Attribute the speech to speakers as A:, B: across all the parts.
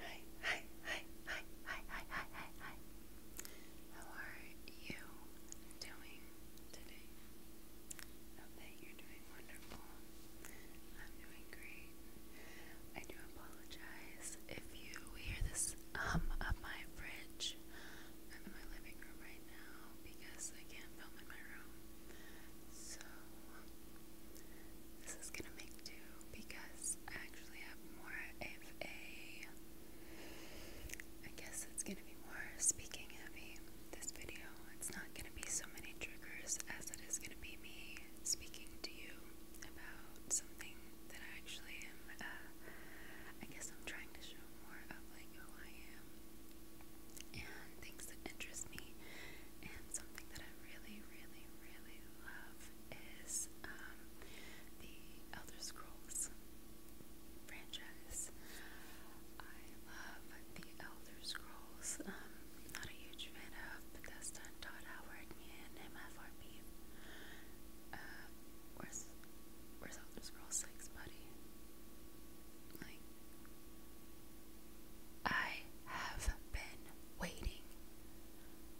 A: Hi, hi, hi, hi, hi, hi, hi, hi, hi. How are you doing today? I hope that you're doing wonderful. I'm doing great. I do apologize if you hear this hum of my fridge. I'm in my living room right now because I can't film in my room. So, this is gonna make do because I actually have more a. I guess it's gonna be more speaking heavy this video. It's not gonna be so many triggers as it is gonna be me speaking to you about something that I actually am. Uh, I guess I'm trying to show more of like who I am and things that interest me. And something that I really, really, really love is um, the Elder Scrolls franchise. I love the Elder Scrolls. Um, not a huge fan of Bethesda and Todd Howard and MFRP. Uh, where's where's Elder Scrolls Six, buddy? Like, I have been waiting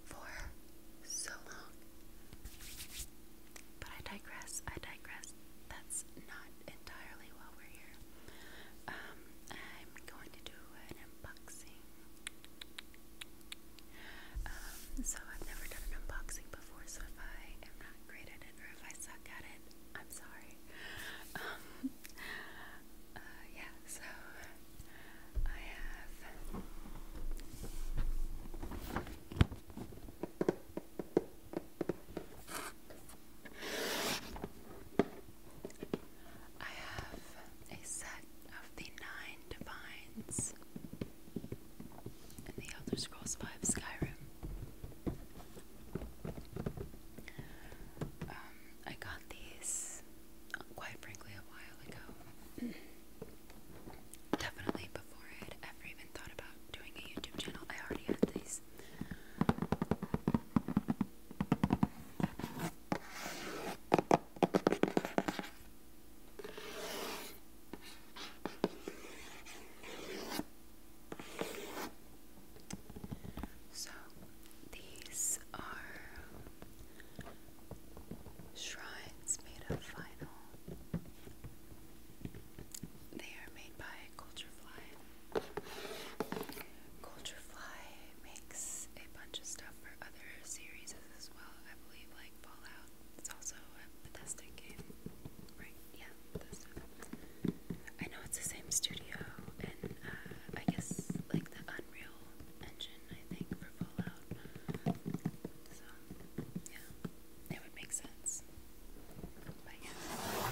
A: for so long. But I digress, I digress. That's not entirely why we're here. Um, I'm going to do an unboxing. Um, so I've never done an unboxing before so if I am not great at it or if I suck at it, I'm sorry. Um, uh, yeah, so I have. I have a set of the Nine Divines and the Elder Scrolls V Skyrim um, I got these quite frankly a while ago. Definitely before I had ever even thought about doing a YouTube channel, I already had these. So these are shrines made of vinyl. They are made by Culturefly. Culturefly makes a bunch of stuff for other series as well, I believe, like Fallout it's also a Bethesda game, right? Yeah, I know it's the same studio, and uh, I guess like the Unreal Engine, I think, for Fallout. So, yeah, it would make sense. But yeah.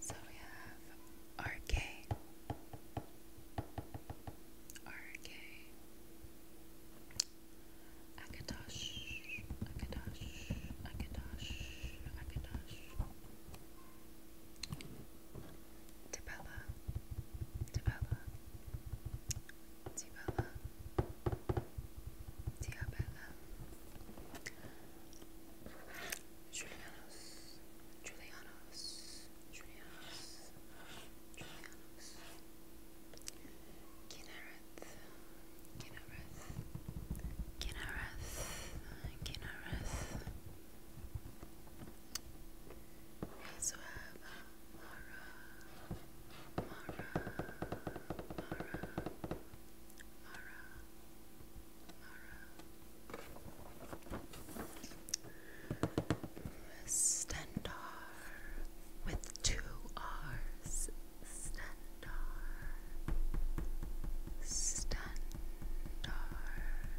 A: So we have RK. RK. Akatosh, Akatosh, Akatosh, Akatosh. Tabella, Tabella, Tabella, Diabella, Julianos, Julianos, Julianos, Julianos, Kinara, Kinareth, Kinareth, Kinareth. We Mara, Mara, Mara, Mara, Mara. Stendar with two R's. Stendar, Stendar,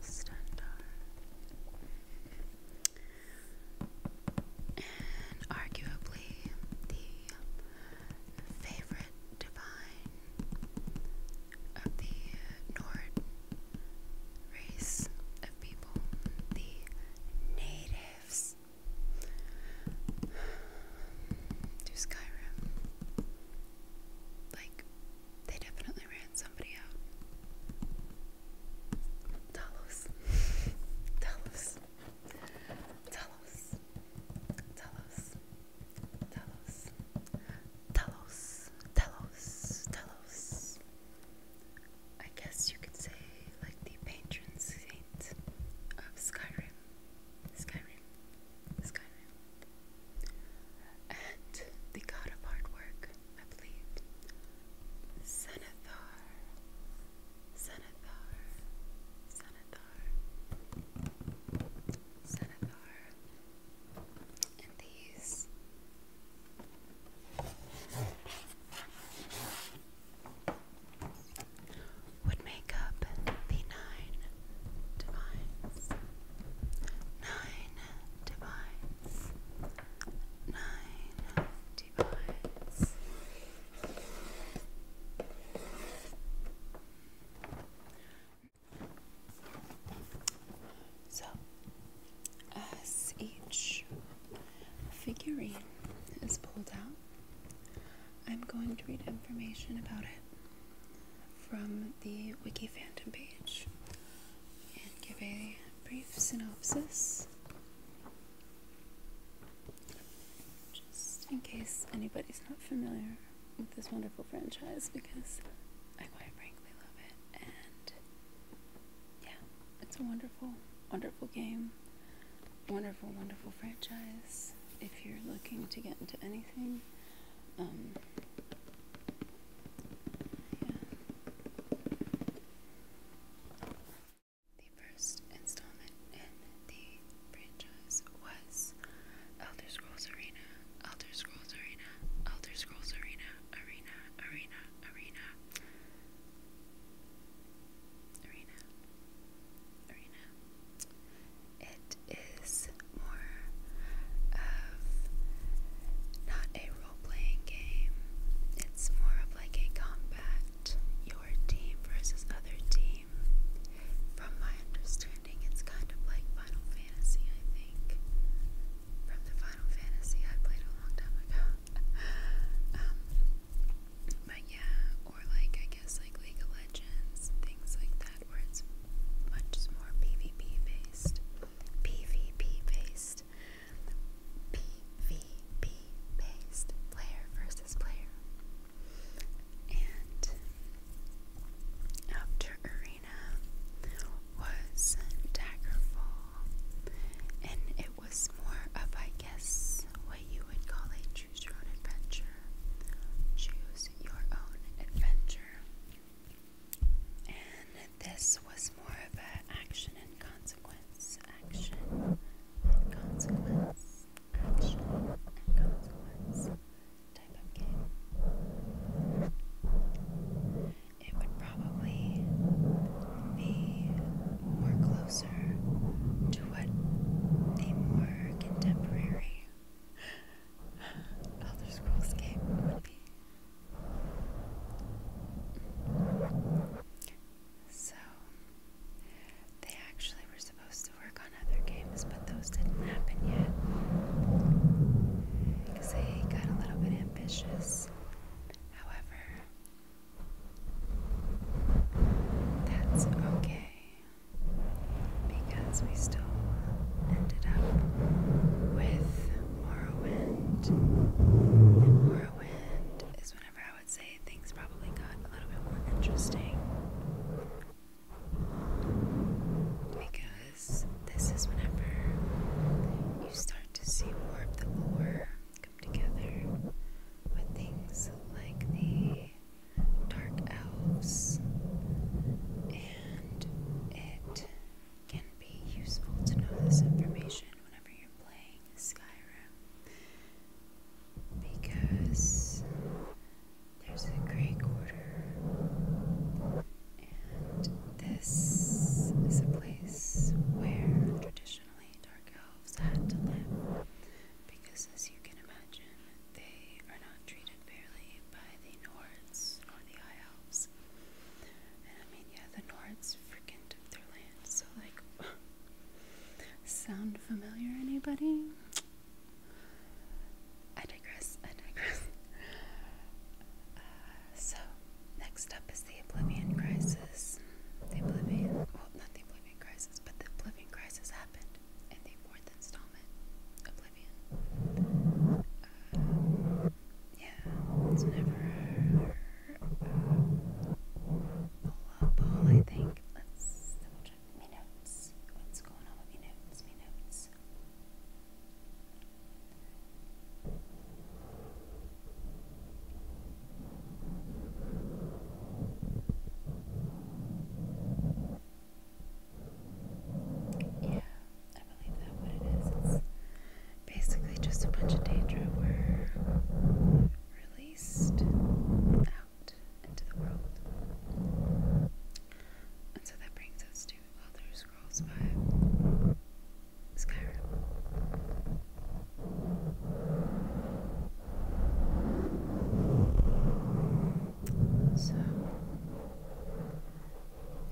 A: Stendar. And arguably the favorite divine of the Nord race of people, the natives. Do Skyrim. Like, they definitely ran somebody out. Talos. Talos. Talos. Talos. Talos. Talos. Talos. Talos. I guess you could say, like, the patron saint of Skyrim, Skyrim, Skyrim, and the god of artwork, I believe, Sanathar, Sanathar, Sanathar, Sanathar, and these would make up the nine divines. Nine divines. Nine divines. So, as each figurine is pulled out, I'm going to read information about it from the Wiki Phantom page and give a brief synopsis just in case anybody's not familiar with this wonderful franchise because I quite frankly love it and yeah, it's a wonderful, wonderful game wonderful, wonderful franchise. If you're looking to get into anything, um, The first installment in the franchise was Elder Scrolls Arena, Elder Scrolls Arena, Elder Scrolls Arena, Arena, Arena, Arena. Arena. Arena. It is more of not a role playing game, it's more of like a combat, your team versus other team. From my understanding, it's kind of like Final Fantasy, I think. From the Final Fantasy I played a long time ago. Um, but yeah, or like I guess like League of Legends, things like that, where it's much more PvP based. PvP based. PvP based. Player versus player. And after Arena was Daggerfall, and it was more of, I guess, what you would call a Choose your own adventure. Choose your own adventure. And this was more of an action and consequence. Action and consequence. Action and consequence type of game. It would probably be or closer to what a more contemporary Elder Scrolls game would be. So, they actually were supposed to work on other games, but those didn't happen yet. Because they got a little bit ambitious. However, that's okay because we still ended up with Morrowind. And is whenever I would say things probably got a little bit more interesting. Because this is whenever you start to see more of the lore come together with things like the dark elves, and it can be useful to know this information whenever you're playing Skyrim because there's a Grey Quarter, and this is a place where traditionally dark elves had to live because, as you can imagine, they are not treated fairly by the Nords nor the High Elves. And I mean, yeah, the Nords freaking took their land, so, like, sound familiar, anybody? I digress, I digress. Uh, so, next up is the Oblivion Crisis. The Oblivion, well, not the Oblivion Crisis, but the Oblivion Crisis happened and fourth installment, Oblivion. Uh, yeah, it's never uh, I think. Let's double check me notes. What's going on with me notes? Me notes. Yeah, I believe that what it is. It's basically just a bunch of daedra were released out into the world. And so that brings us to Elder Scrolls 5 Skyrim. So,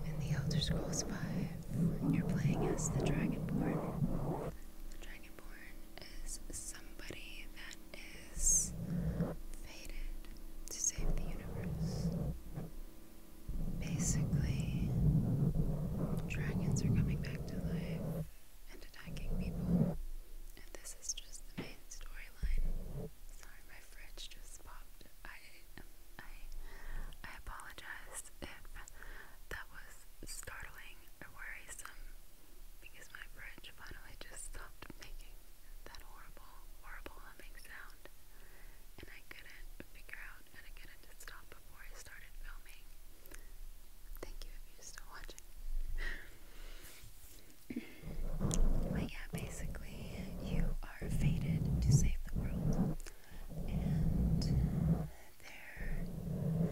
A: in The Elder Scrolls V, you're playing as the Dragonborn. The Dragonborn is somebody that is fated to save the universe. Basically, dragons are coming back to life attacking people. And this is just the main storyline. Sorry, my fridge just popped. I um, I I apologize if that was startling or worrisome because my fridge finally just stopped making that horrible, horrible humming sound. And I couldn't figure out how to get it stop before I started filming. Thank you if you're still watching. But yeah, basically, you are fated to save the world, and there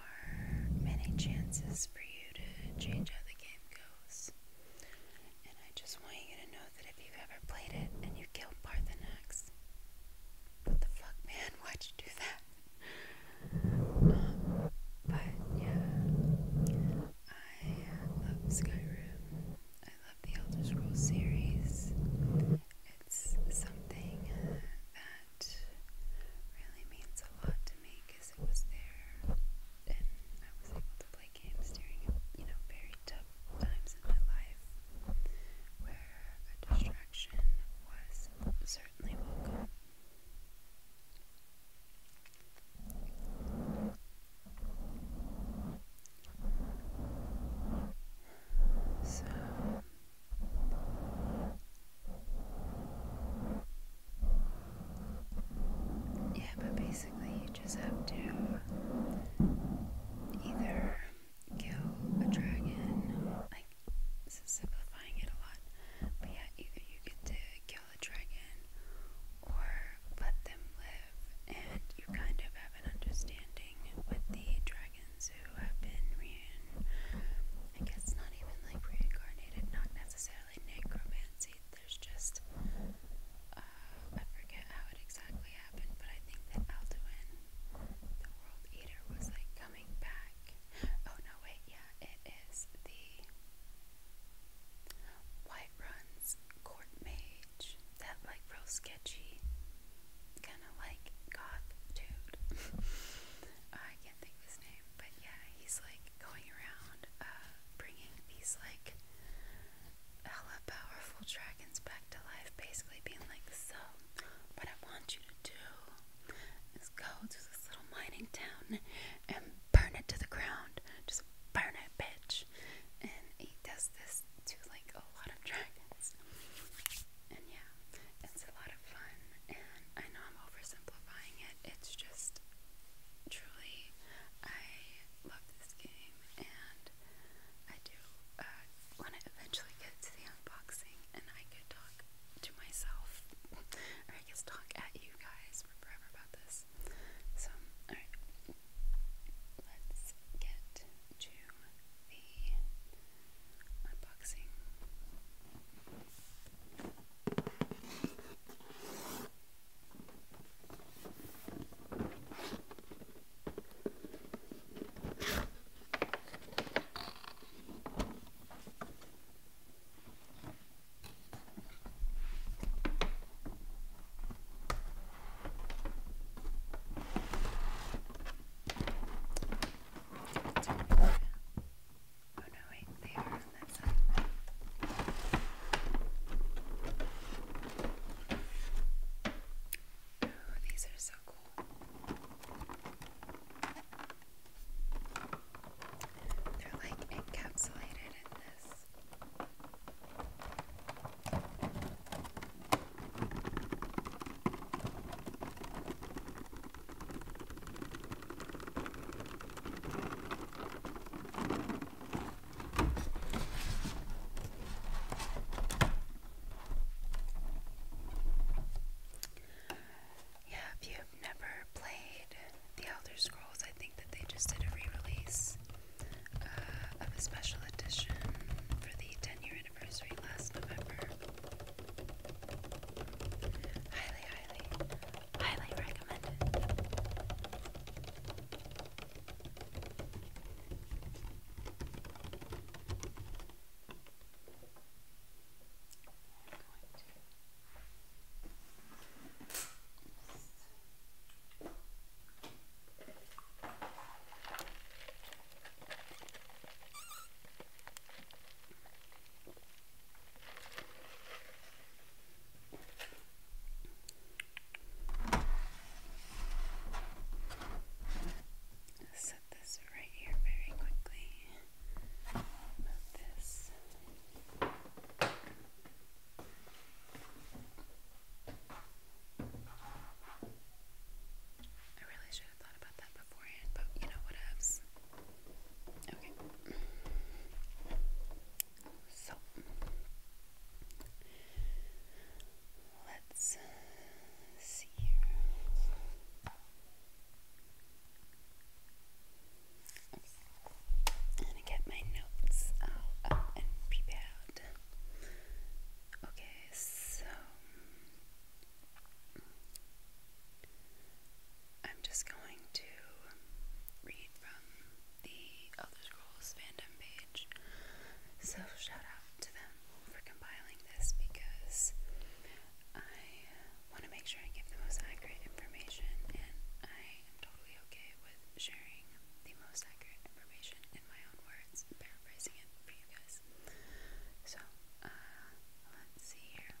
A: are many chances for you to change how the game goes. And I just want you to know that if you've ever played it and you killed Parthenax, what the fuck, man? Why'd you do that? Um, but yeah, I love Skyrim. I love the Elder Scrolls series. It's something that really means a lot to me because it was there and I was able to play games during, you know, very tough times in my life where a distraction was certainly welcome. So yeah, but basically you just have to either kill a dragon, like this is simplifying it a lot, but yeah, either you get to kill a dragon or let them live, and you kind of have an understanding with the dragons who have been rein I guess not even like reincarnated, not necessarily necromancy. There's just uh, I forget how it exactly happened, but I think that Alduin, the World Eater, was like coming back. Oh no, wait, yeah, it is the White runs court mage, that like real sketchy, kind of like goth dude. I can't think his name, but yeah, he's like going around uh, bringing these like hella powerful dragons back to life, basically being like, so what I want you to do is go to this little mining town and burn it to the ground. Just burn it, bitch. And he does this to like a lot of dragons. And yeah, it's a lot of fun. And I know I'm oversimplifying it. It's just truly, I love this game. And I do uh, when eventually get to the unboxing and I could talk to myself or I guess talk at you guys forever about this. So, alright. Let's get to the unboxing. Oh no, wait, they are on that side. Oh, these are so cool. They're like encapsulated in yeah, if you I've never played The Elder Scrolls. I think that they just did a re release uh, of a special edition for the 10 year anniversary last November. Highly, highly, highly recommended. I'm going to Set this right here very quickly. Move this. I really should have thought about that beforehand, but you know what else? Okay. So let's see here. I'm gonna get my notes out and prepared. Okay, so I'm just going to read from the Elder Scrolls fandom page. So shout out to them for compiling this because I want to make sure I give the most accurate information and I am totally okay with sharing the most accurate information in my own words, paraphrasing it for you guys. So, uh, let's see here.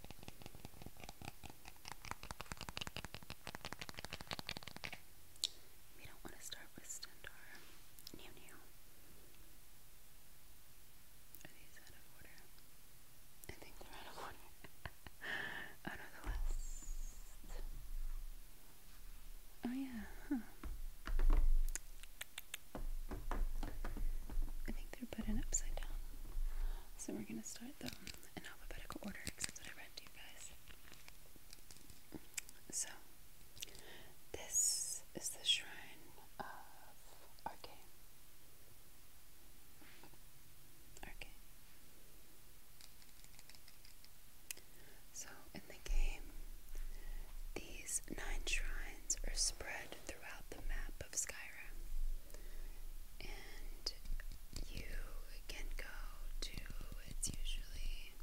A: We don't want to start with Stendar. New, new. Are these out of order? I think they're out of order. out of the West. Oh yeah, I think they're put in upside down. So we're gonna start them in alphabetical order, except that I read to you guys. So this is the shrine of Arcane. Okay. So, in the game, these nine shrines are spread throughout the map of Skyrim, and you can go to it's usually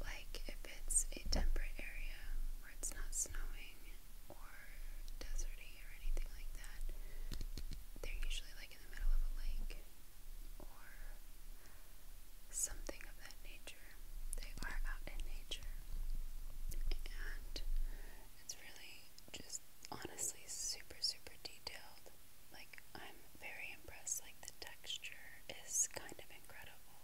A: like if it's a temperate area where it's not snowing or deserty or anything like that, they're usually in the middle of a lake or something of that nature. They are out in nature. And it's really just honestly super, super detailed. Like, I'm very impressed. Like, the texture is kind of incredible.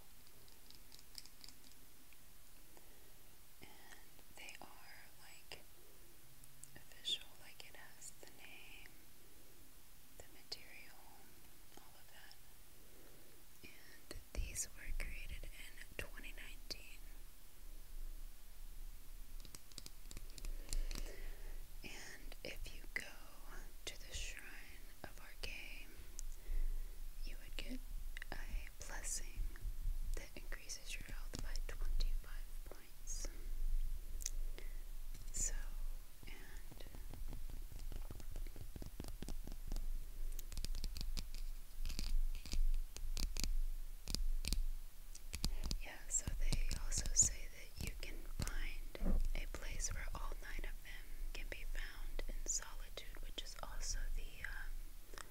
A: And they are like official, like it has the name, the material, all of that. And these were created in 2019. And if you go to the shrine of our game, you would get a blessing that increases your health by 255 points. yeah, so they also say that you can find a place where all nine of them can be found in solitude, which is also the um,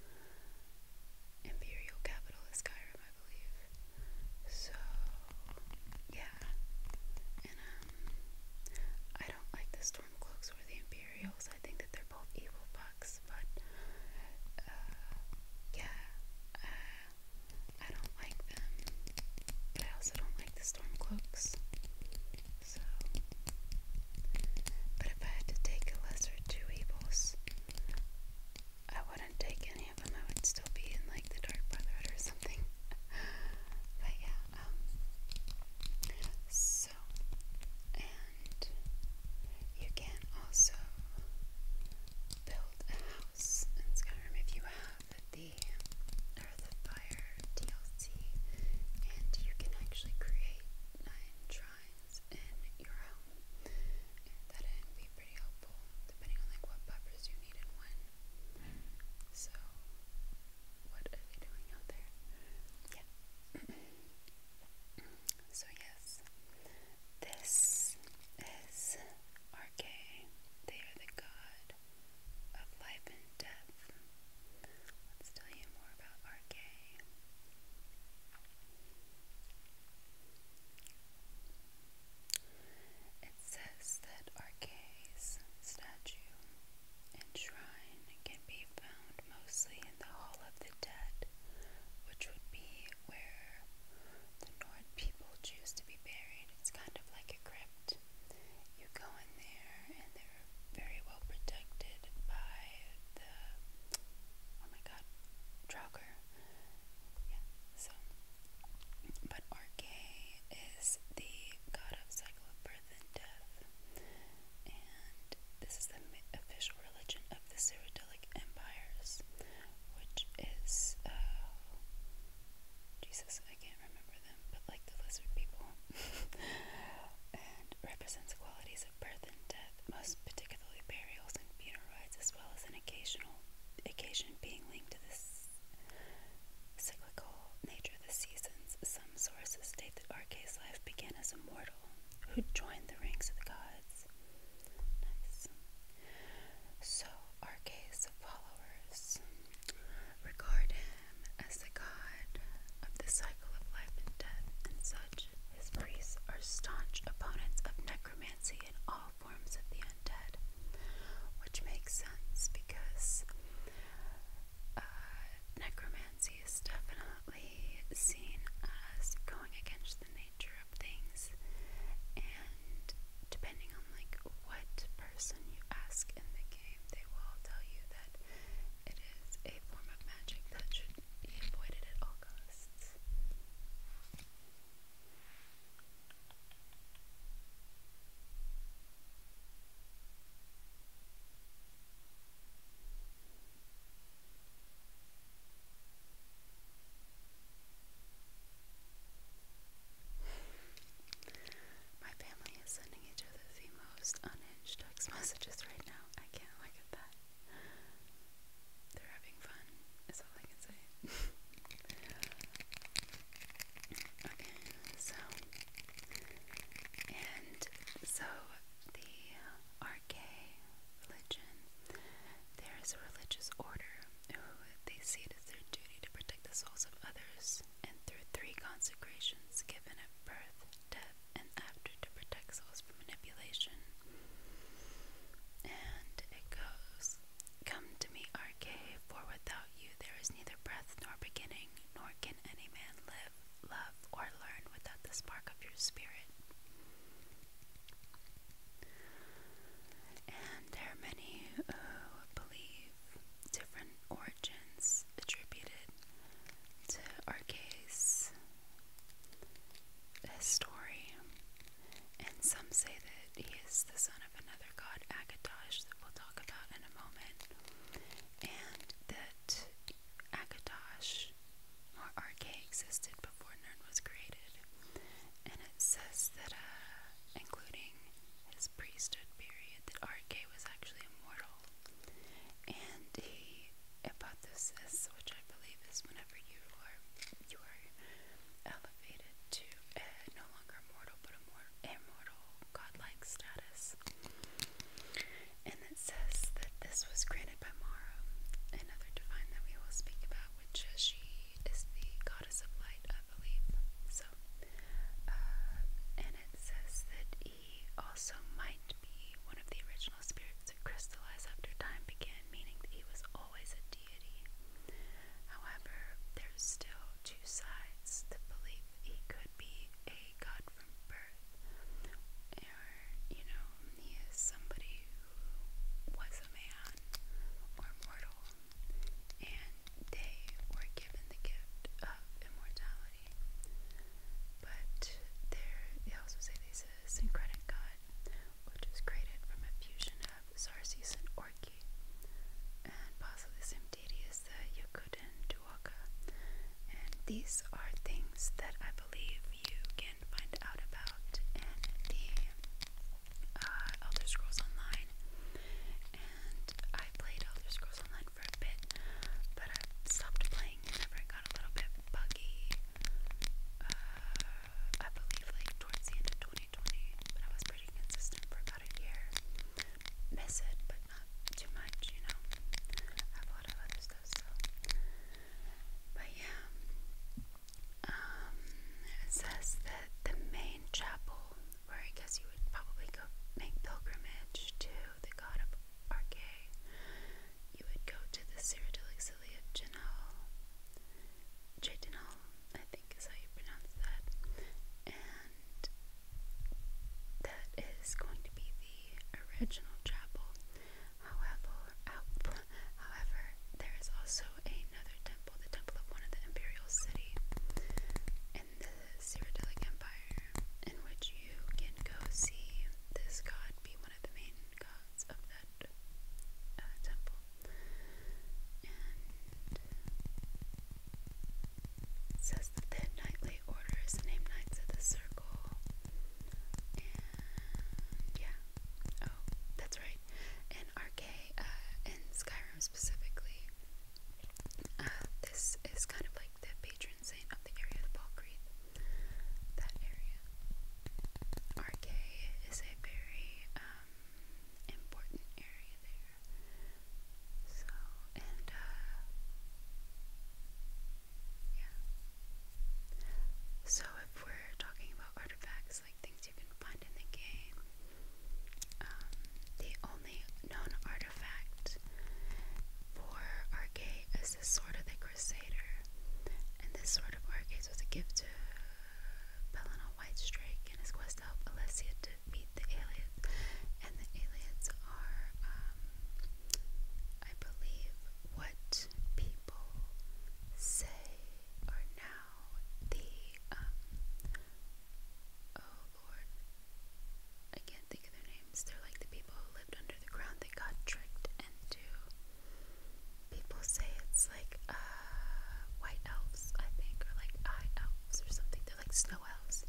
A: imperial capital of Skyrim, I believe. So yeah. And um I don't like the Stormcloaks or the Imperials. I think that they're both evil bucks, but uh yeah. Uh I don't like them. But I also don't like the Stormcloaks. So but if I had to take a lesser two evils, I wouldn't take any of them. I would still be in like the Dark Brotherhood or something. but yeah, um, so, and you can also build a house in Skyrim if you have the Earth DLC, and you can actually create nine shrines in your home be pretty helpful depending on like what peppers you need and when. So what are they doing out there? Yeah. so yes, this is Arche. They are the god of life and death. Let's tell you more about Arche. It says that Arce's statue and shrine can be found mostly in the Hall of the Dead, which would be where the Nord people choose to be buried. It's kind of like a crypt. You go in there, and they're very well protected by the oh my god, Draugr. Yeah, so. But Orkay is the god of cycle of birth and death. And this is the official religion of the Cyrodiilic empires, which is, uh, Jesus, I can't remember them, but like the lizard people. and represents qualities of birth and death, most particularly burials and funeral rites, as well as an occasional occasion being linked to this cyclical nature of the seasons. Some sources state that Arcas' life began as a mortal who joined the ranks of the gods. So Arcas' followers regard him as the god of the cycle of life and death and such. His priests are staunch opponents of necromancy and all forms of the undead, which makes sense because uh, necromancy is definitely seen as going against the nature of things, and depending on like what person you ask in the game, they will tell you that it is a form of magic that should be avoided at all costs. My family is sending each other the most unhinged text messages right now. I can't look at that. They're having fun okay, so and so the RK religion, there is a religious order who they see it as their duty to protect the souls of others, and through three consecrations given at birth, death, and after to protect souls from manipulation. And it goes Come to me, Arche, for without you there is neither breath nor beginning, nor can any man live, love, or learn without the spark of your spirit. And there are many who believe different origins attributed to Arche's story and some say that he is the son of another god, Akatosh, that we'll talk about in a moment, and that Akatosh or Arke existed before Nern was created. And it says that, uh, including his priesthood period, that Arke was actually immortal. And he, about which I believe is whenever you are you are elevated to a no longer mortal but a more immortal godlike status. And it says that this was granted by Mara, another divine that we will speak about, which is she is the goddess of light, I believe. So, uh, and it says that he also might be one of the original spirits that crystallized after time began, meaning that he was always a deity. However, there's still two sides that believe he could be a god from birth, or, you know, he is somebody who was a man or mortal, and they were given the gift of immortality. But they also say he's a syncretic god, which is created from a fusion of Xarxes and Orki, and possibly the same deity as the uh, Yakut and Duaka. And these are things that I believe you can find out about in the uh, Elder Scrolls Online. And I played Elder Scrolls Online for a bit, but I stopped playing whenever it got a little bit buggy. Uh, I believe like towards the end of 2020, but I was pretty consistent for about a year. Miss it, but not too much, you know. have a lot of other stuff So. But yeah. Um, it says that the main chapel, where I guess you would probably go make pilgrimage to the god of Arche, you would go to the Cyrodiilic City of Genoa. Chitinol, I think is how you pronounce that. And that is going to be the original chapel. However, however, there is also another temple, the temple of one of the imperial city in the Cyrillic Empire, in which you can go see this god be one of the main gods of that uh, temple says that the nightly order is Knights of the Circle. yeah. Oh, that's right. In Arcade, uh, in Skyrim specifically, uh, this is kind of like the patron saint of the area, the Balkreath. That area. Arcade is a very, um, um, important area there. So, and, uh, yeah. So, if we're talking about artifacts, like things you can find in the game, um, the only known artifact for Arcade is the Sword of the Crusader. And this Sword of Arcades was a gift to Pelennor Whitestrake and his quest to help Alessia defeat the aliens. And the aliens are, um, I believe, what people say are now the, um, oh lord, I can't think of their names. They're like the people who lived under the ground that got tricked into. People say it's like, uh, white elves, I think, or like high elves or something. They're like snow elves.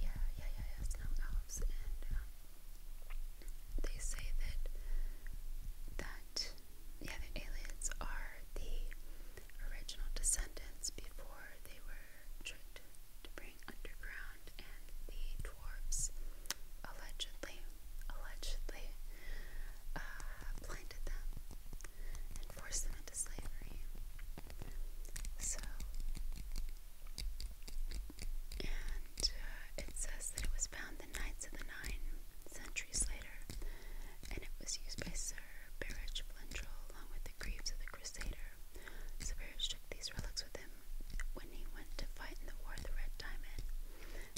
A: Yeah, yeah, yeah, snow elves. And um, they say that that yeah, the aliens are the original descendants before they were tricked to bring underground, and the dwarves allegedly, allegedly, uh, blinded them and force them into slavery. So, and uh, it says that it was found the Knights of the Nine centuries later, and it was used by Sir Berich Flentrell along with the greaves of the Crusader. So Berich took these relics with him when he went to fight in the War of the Red Diamond.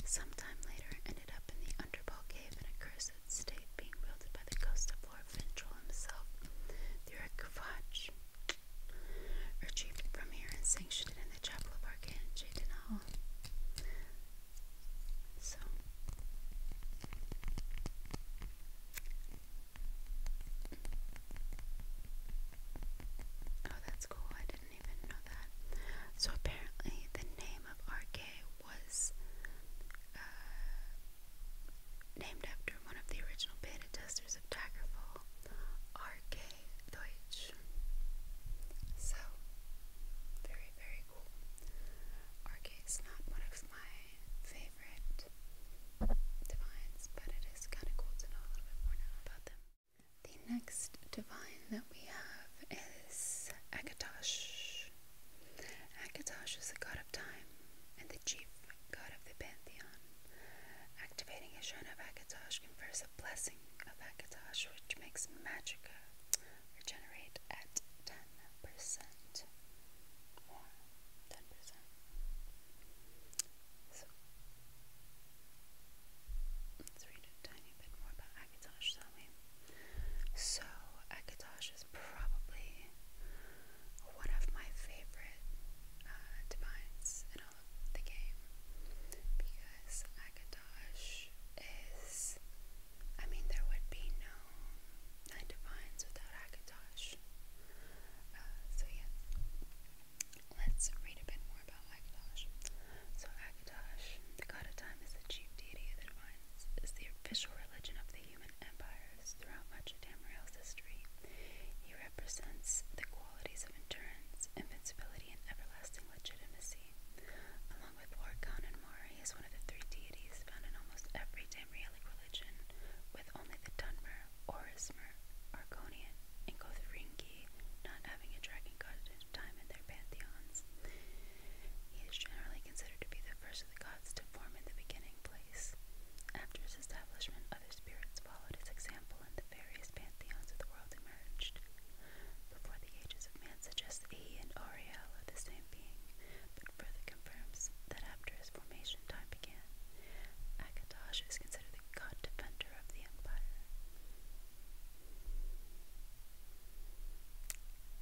A: Sometime later, it ended up in the Underball Cave in a cursed state being wielded by the ghost of Lord Ventral himself through a kvatch, retrieved from here and sanctioned in the chapel of Arcane Jaden Hall. So, oh, that's cool. I didn't even know that. So apparently, the name of Arcane was uh, Named after one of the original beta testers of Daggerfall, R.K. Deutsch. So, very, very cool. R.K. is not one of my favorite divines, but it is kind of cool to know a little bit more now about them. The next divine that we have is Akatosh. Akatosh is the god of time and the chief god of the pantheon. Activating a shrine of Akatosh confers a blessing of Akatosh, which makes magica regenerate at 10% more. 10%. let's read a tiny bit more about Akatosh, shall we? So, Akatosh is probably one of my favorite uh, in all of the game because Akatosh is. I mean, there would be no nine without Akatosh. Uh, so, yeah, let's read a bit more about Akatosh. So, Akatosh, the god of time, is the chief deity of the divines, is the official religion of the human empires throughout much of Tamriel's history. He represents the qualities of endurance, invincibility, and everlasting legitimacy. Along with Lorcan and Mar, he is one of the three deities found in almost every Tamrielic religion, with only the Dunmer, Orismer, Arconian, and Gothringi not having a dragon god at a time in their pantheons. He is generally considered to be the first of the gods to form in the beginning place. After his establishment, other spirits followed his example, and the various pantheons of the world emerged. Before the ages of man suggests he and Ariel are the same being, but further confirms that after his formation, time began. Akatosh is considered the god defender of the empire.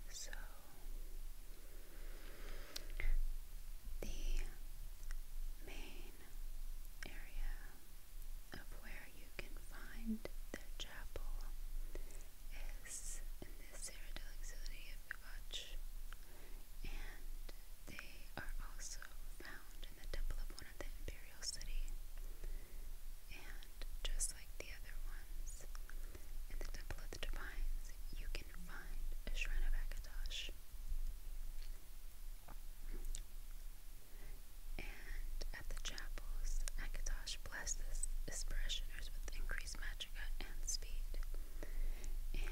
A: So, the main area of where you can find their chapel is in the Serra del Auxiliary of Bivach, and they are also found in the temple of one of the imperial city. And just like the other ones, in the Temple of the Divines, you can can find a shrine of Akatosh. And at the chapels, Akatosh blesses his parishioners with increased magicka and speed. And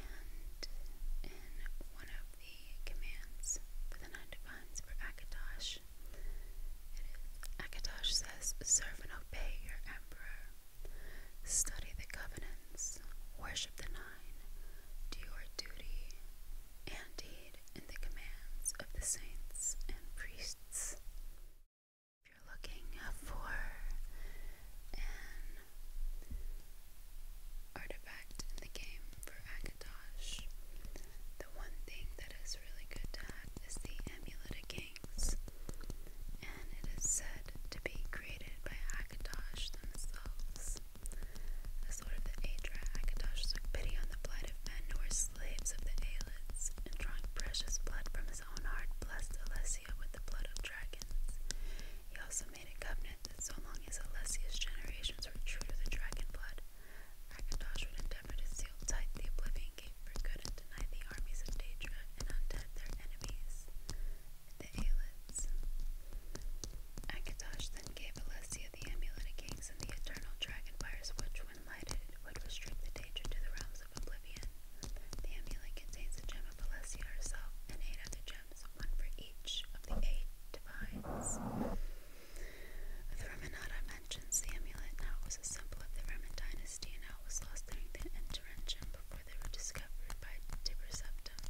A: in one of the commands for the nine divines for Akatosh, it is Akatosh says, Serve and obey your emperor. Study the covenants, worship the nine, do your duty and deed in the commands of the saints and priests. If you're looking for an artifact in the game for Akatosh, the one thing that is really good to have is the amulet again and it is said to be created by Akatosh themselves. The sword of the Adra, Akatosh took pity on the plight of men who were slaves of the Aelids, and drawing precious blood from his own heart, blessed Alessia with the blood of dragons. He also made a covenant that so long as Alessia's generations were true to the dragon blood, Akatosh would endeavor to seal tight the Oblivion Gate for good and deny the armies of Daedra and undead their enemies the Aelids. Akatosh then gave Alessia the amulet of kings and the eternal dragon fires, which, when lighted, would restrict the danger to the realms of oblivion. The amulet contains a gem of Alessia herself and eight other gems, one for each of the eight divines. The Reminata mentions the amulet and was a symbol of the Roman dynasty and how was lost during the intervention before before they were discovered by Tiberseptum.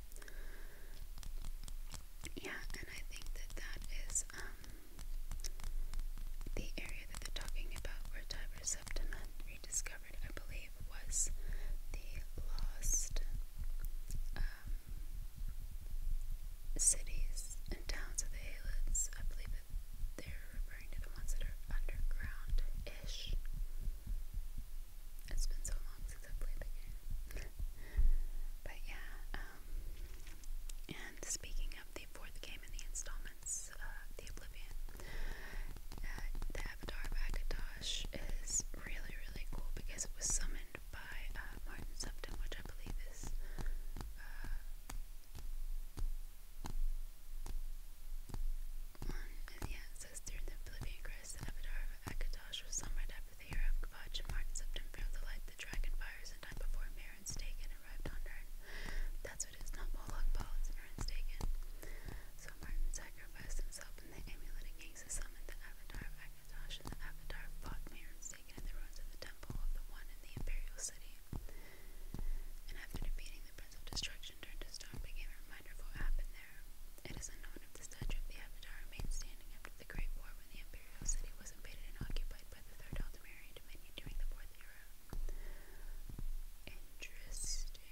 A: Yeah, and I think that that is um, the area that they're talking about where Tiberseptum had rediscovered, I believe, was the lost um, cities and towns of the Halids. I believe that they're referring to the ones that are underground ish. It's been so long since I played the game. but yeah, um, and speaking of the fourth game in the installments, uh, The Oblivion, uh, the Avatar of is really, really cool because it was summoned by uh, Martin Sefton, which I believe is. One is the ancestor of the Philippian Christ, the Avatar of Akatosh was summoned after the year of Kavach and Martin September of the light the dragon fires in time before Marin's taken arrived on Earth. That's what it is, not Moloch Paul, it's Marin's taken. So Martin sacrificed himself and the amulet against the summon the Avatar of Akatosh and the Avatar fought Marin's taken in the ruins of the temple of the one in the Imperial City. And after defeating the Prince of Destruction turned to stone became a reminder of what happened there. It is unknown if the statue of the Avatar remained standing after the Great War when the Imperial City was invaded and occupied by the Third Altamirian Dominion during the Fourth Era. Interesting.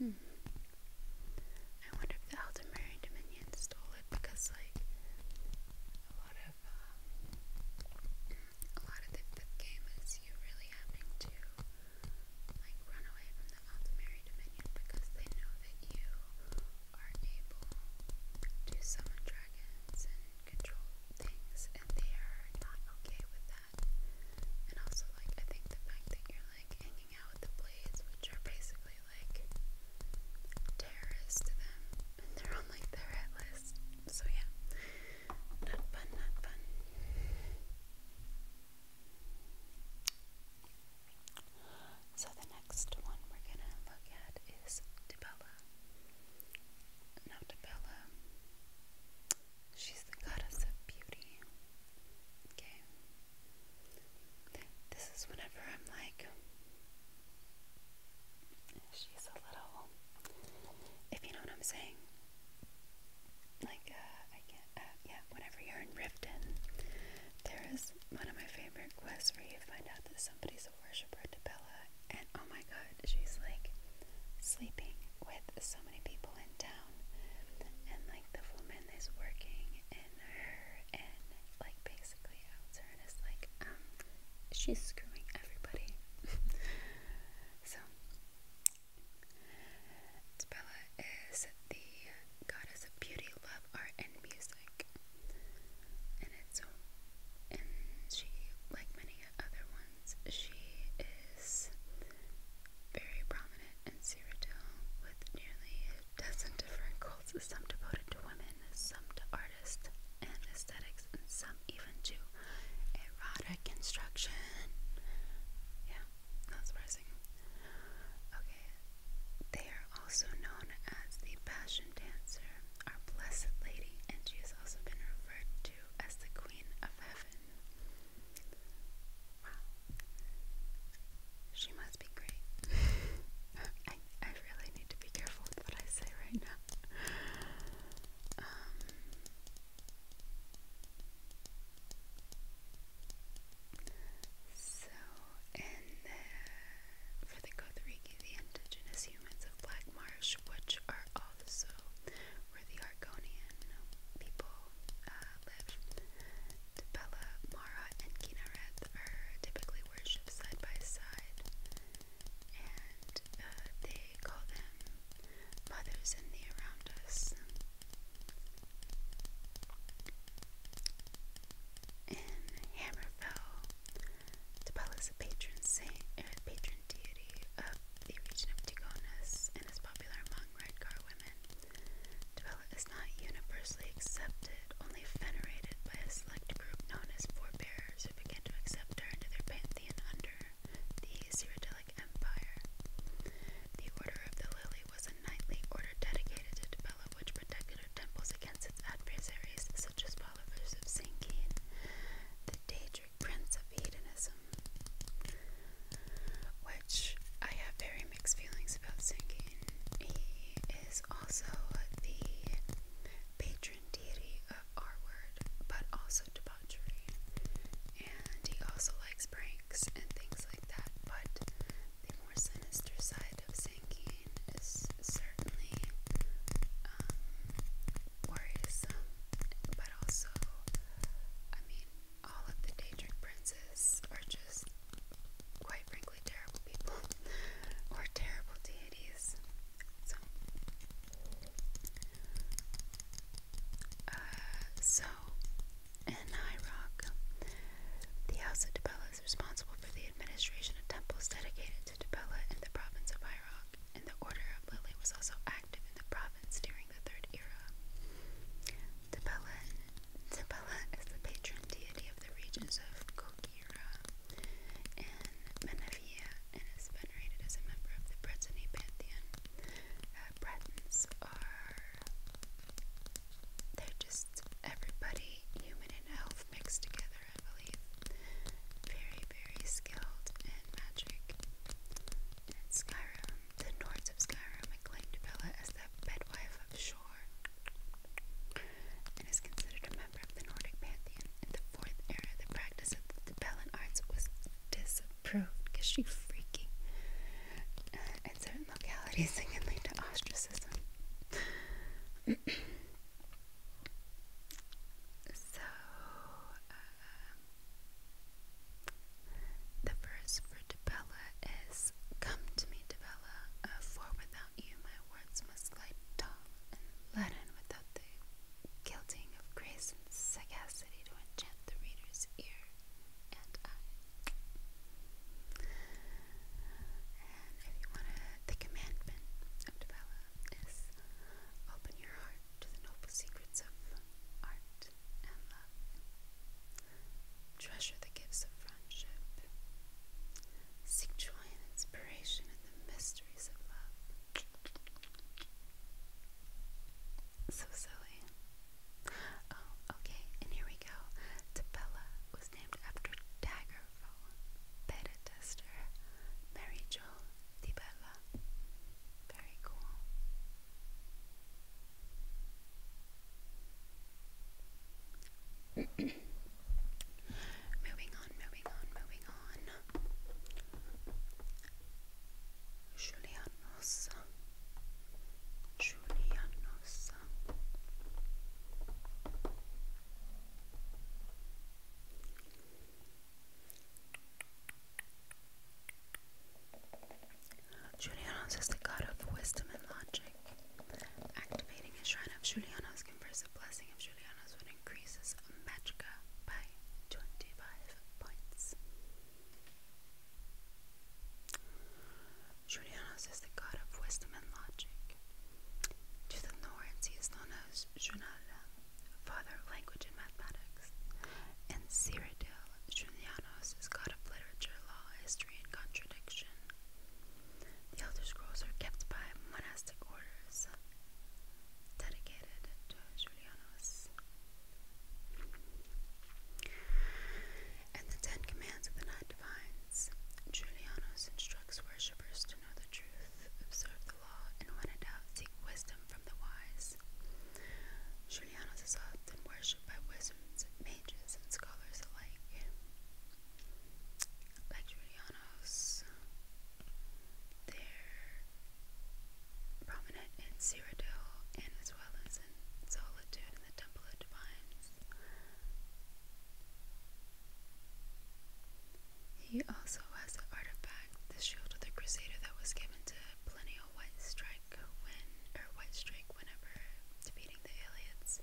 A: Hmm. I wonder if the Altamirian Dominion stole it because, like, a lot of um, a lot of the, the game is you really having to like run away from the Altamary Dominion because they know that you are able to summon dragons and control things and they are not okay with that. And also like I think the fact that you're like hanging out with the blades which are basically like terrorists to them they're on like the red list. So yeah, not fun, not fun. So the next one we're gonna look at is Dibella. Now Dibella, she's the goddess of beauty. Okay. This is whenever I'm like She's a little, if you know what I'm saying. Like, uh, I can't, uh, yeah, whenever you're in Riften, there is one of my favorite quests where you find out that somebody's a worshiper to Bella, and oh my god, she's like sleeping with so many people in town, and like the woman is working in her, and like basically out and is like, um, she's screwing everybody. so, Tbella is the goddess of beauty, love, art, and music. And it's, and she, like many other ones, she is very prominent in Cyrodiil with nearly a dozen different cults, some devoted to women, some to art and aesthetics, and some even to erotic instruction. Yeah, not surprising. Okay, they are also known as the Passion Dancer, our Blessed Lady, and she has also been referred to as the Queen of Heaven. Wow. She must be great. I, I really need to be careful with what I say right now. Um, so, and uh, for the Kothariki, the indigenous humans of Black Marsh, which are also where the Argonian people uh, live, Tepela, Mara, and Kinaret are typically worshipped side by side and uh, they call them mothers in the around us. In Hammerfell, Topal is a patron saint, er, patron deity of the region of Tigonis and is popular among Redcar women. Topala is not universally accepted, only venerated by a select group known as forebearers who begin to accept her into their the under the Cyrodiilic Empire. The Order of the Lily was a knightly order dedicated to Tibella, which protected her temples against its adversaries, such as followers of Sinkin, the Daedric Prince of Hedonism. Which I have very mixed feelings about Sinkin. He is also the patron trendiri, uh, R word, but also debauchery. And he also likes pranks and things like that, but the more sinister side of Sanguine is certainly um, worrisome, but also, I mean, all of the Daedric princes are just, quite frankly, terrible people, or terrible deities. Uh, so, in Iraq, the House of Tabella is responsible for the administration of temples dedicated to Tabella in the province of Iraq, and the Order of Lily was also active in the province during the Third Era. Tabella, Tabela is the patron deity of the regions of Kokira and Menef and is venerated as a member of the Bretonne pantheon. Uh, Bretons are—they're just everybody, human and elf, mixed together. I believe very, very skilled in magic. Skyrim, the Nords of Skyrim, acclaimed Bella as the bedwife of shore, and is considered a member of the Nordic pantheon. In the fourth era, the practice of the Bellin arts was disapproved because she's freaking uh, in certain localities, it lead to ostracism. so, um, the verse for Tabella is Come to me, Tabella, uh, for without you my words must lie dull and leaden without the gilding of grace and sagacity to enchant the reader's ear and eye. And if you want the commandment of Dabella open your heart to the noble secrets of art and love. Treasure the gifts of friendship. Seek joy and inspiration in the mysteries of love. So silly. Oh, okay, and here we go. Tabella was named after Daggerfall, beta tester, Mary Jo Tabella. Very cool. moving on, moving on, moving on. Julianos Julianos Julianos is the god of wisdom and logic. Activating a shrine of Julianos confers a blessing of Julianos increases Magica by 25 points. Julianos is the god of wisdom and logic. To the north, he is known as Junala, father of language and mathematics. In Cyrodiil, Julianos is god of literature, law, history, and contradiction. The Elder Scrolls are kept by monastic orders, dedicated to Julianus. In the Ten Commands of the Nine Divines, Julianus instructs worshippers to know the truth, observe the law, and when in doubt, seek wisdom from the wise. Julianos is often worshipped by wizards, mages, and scholars alike. Like Julianus, there prominent in Cyrodiil as well as in Solitude in the Temple of Divines. He also has an artifact, the shield of the Crusader, that was given to Plinio White Strike when, or White Strike whenever defeating the Aliens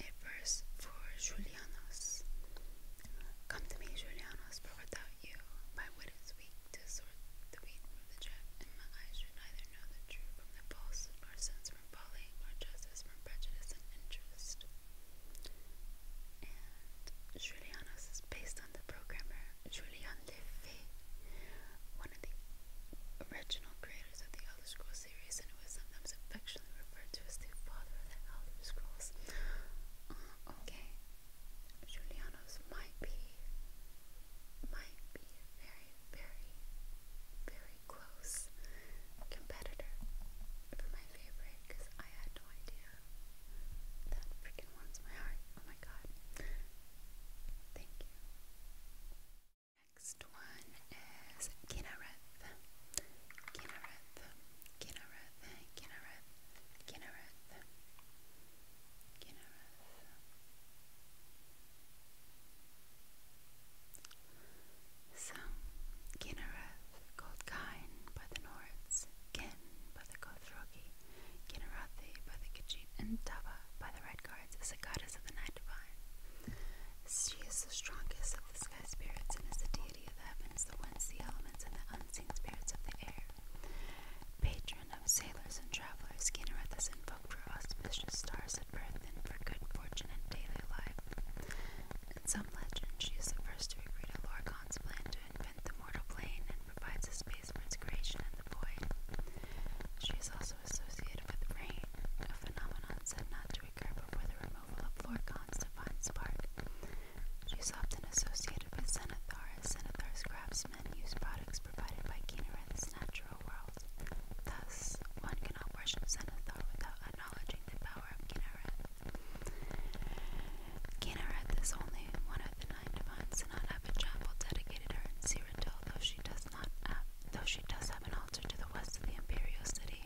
A: a verse for Julianos. Come to me, Julianos, for without you, my wit is weak to sort the wheat from the chaff, and my eyes should neither know the true from the false, nor sense from folly, nor justice from prejudice and interest. And Julianos is based on the programmer Julian Lefebvre, one of the original creators of the Elder Scrolls series, and it sometimes affectionately referred to as the father of the Elder Scrolls. Uh, okay, Julianos might be, might be very, very, very close competitor for my favorite, because I had no idea. That freaking warms my heart. Oh my god. Thank you next one is Kinnereth. Kinnereth. Kinnereth. Kinnereth. Kinnereth. Kinnereth. So, Kinnereth, called Cain by the Norths, Ken by the Gothrogi, Kinnerathi by the Khajiit, and Tava by the Red is a goddess of the Night Divine. She is the strongest of the sky spirits and is the deity of the heavens, the winds, the elements, and the unseen spirits of the air. Patron of sailors and travelers, Kinnereth is invoked for auspicious stars at birth and for good fortune in daily life. In some legends, she is the first to agree to Lorcan's plan to invent the mortal plane and provides a space for its creation in the void. She is also associated with rain, a phenomenon said not to occur before the remote removal of Lorcan's divine spark. She's often associated with Xenathar, as Xenathar's craftsmen use products provided by Kinareth's natural world. Thus, one cannot worship Xenathar without acknowledging the power of Kinareth. Kinareth is only one of the nine divines, and not have a chapel dedicated her in Cyrodiil, though she does not have an altar to the west of the imperial city.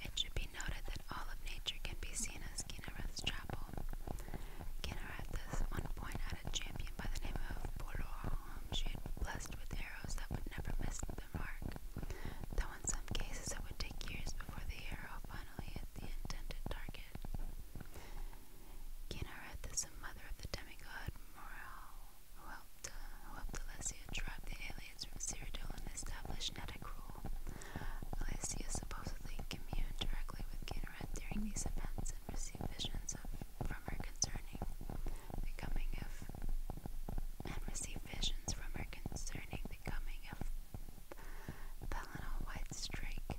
A: It should be noted that all of nature can be seen as Kinnereth's chapel. Kinnereth is one point had a champion by the name of Boror, whom she had blessed with arrows that would never miss the mark, though in some cases it would take years before the arrow finally hit the intended target. Kinnereth is the mother of the demigod Moral, who helped helped, who helped Alessia drive the aliens from Cyrodiil and establish Neta rule. Alessia supposedly communed directly with Kinnared during these events and received visions of, from her concerning the coming of and received visions from her concerning the coming of Pelennor White Strake.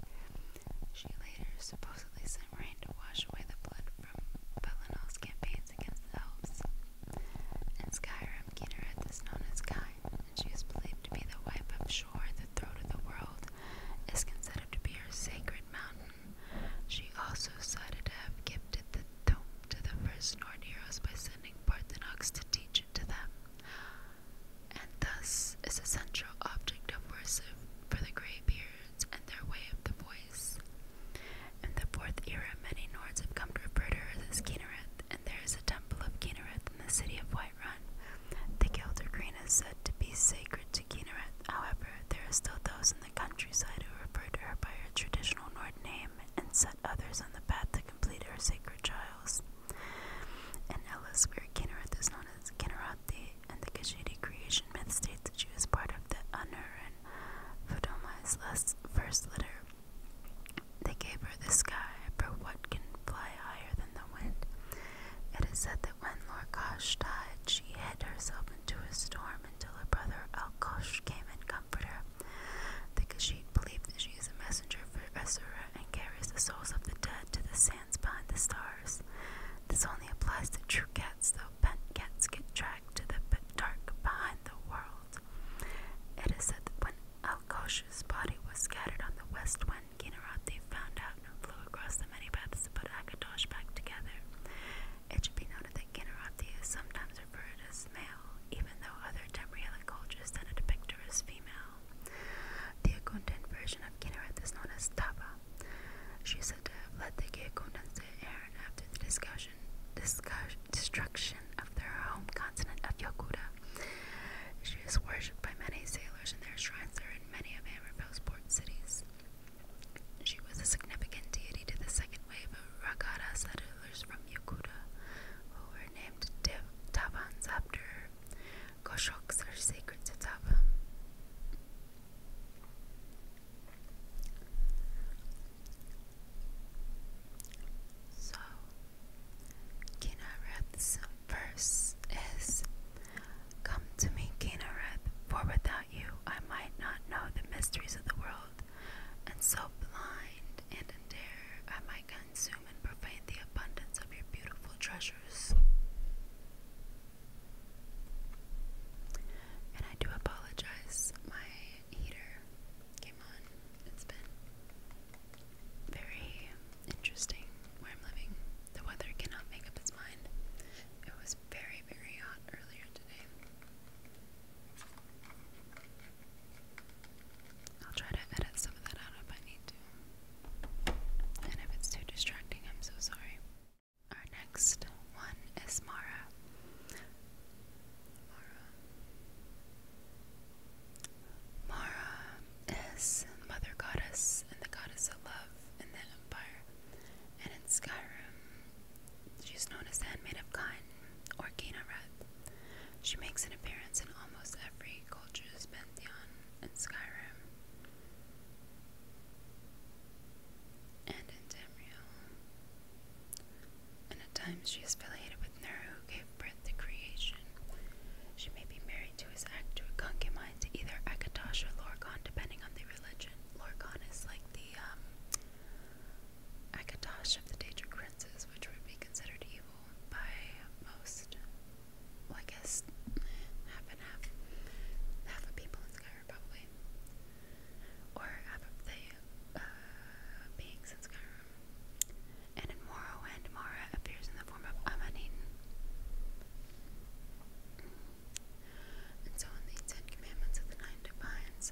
A: She later supposedly sent rain to wash away the blood from Pelenor's campaigns against the elves. In Skyrim, Kinneret is known as Kai, and she is believed to be the wife of Shore, the throat of the world, is considered to be her sacred mountain. She also is cited to have gifted the tome to the first Nord heroes by sending Parthenox to teach it to them, and thus is a central object of worship for the Greybeards and their way of the voice. In the fourth era, many Nords have come to refer to her as Kinnereth, and there is a temple of Kinnereth in the city of Whiterun. The Gelder Green is said to be sacred to Kinnereth, however, there are still those in the countryside who refer to her by her traditional Nord name and set others on the path to complete her sacred trials. In Ellis, where is known as Kinnerati, and the Kashidi creation myth states that she was part of the Anurin Fodoma's first litter. They gave her the sky, for what can fly higher than the wind? It is said that when Lorcash died, she hid herself into a storm until her brother Al Alkosh came and comforted her. The Khajiit believe that she is a messenger for Esura and carries the souls of the dead to the sands behind the stars. This only applies to true cats, though pet cats get trapped to the dark behind the world. It is said that when Alkosh's body was scattered on the west wind, Kinarati found out and flew across the many paths to put Akatosh back together. It should be noted that Kinarati is sometimes referred as male, even though other Tamrielic cultures tend to depict her as female. The Akundan version of Kinarati is known as Taba. She said to have led the Geakundans to Aaron after the discussion, discuss, destruction of their home continent of Yokuta. She is worshipped by many sailors, and their shrines are in many of Amberville's port cities. She was a significant deity to the second wave of Ragada settlers from Yokuta, who were named Tabans after her. Koshoks are sacred to Taban. So, Kinareth's verse is Come to me, Kinareth, for without you I might not know the mysteries of the world, and so blind and dare I might consume and profane the abundance of your beautiful treasures. And I do apologize, my heater came on it's been very interesting where I'm living. The weather cannot make up its mind. It was very, very hot earlier today. I'll try to edit some of that out if I need to. And if it's too distracting, I'm so sorry. Our next one is Mara. Mara. Mara is mother goddess and the goddess of love in empire. And in Skyrim, she's known as the handmaid of Kine or Kina She makes an appearance in almost every culture's pantheon in Skyrim and in Tamriel and at times she is affiliated with Nero, who gave birth to creation. She may be married to his act actual concubine, to either Akatosh or Lorcan, depending on the religion. Lorcan is like the um, Akatosh of the Daedric princes, which would be considered evil by most. Well, I guess half and half. Half of people in Skyrim, Or half of the uh, beings in Skyrim and in Morrowind, Mara appears in the form of Amanin. And so, in the Ten Commandments of the Nine Divines,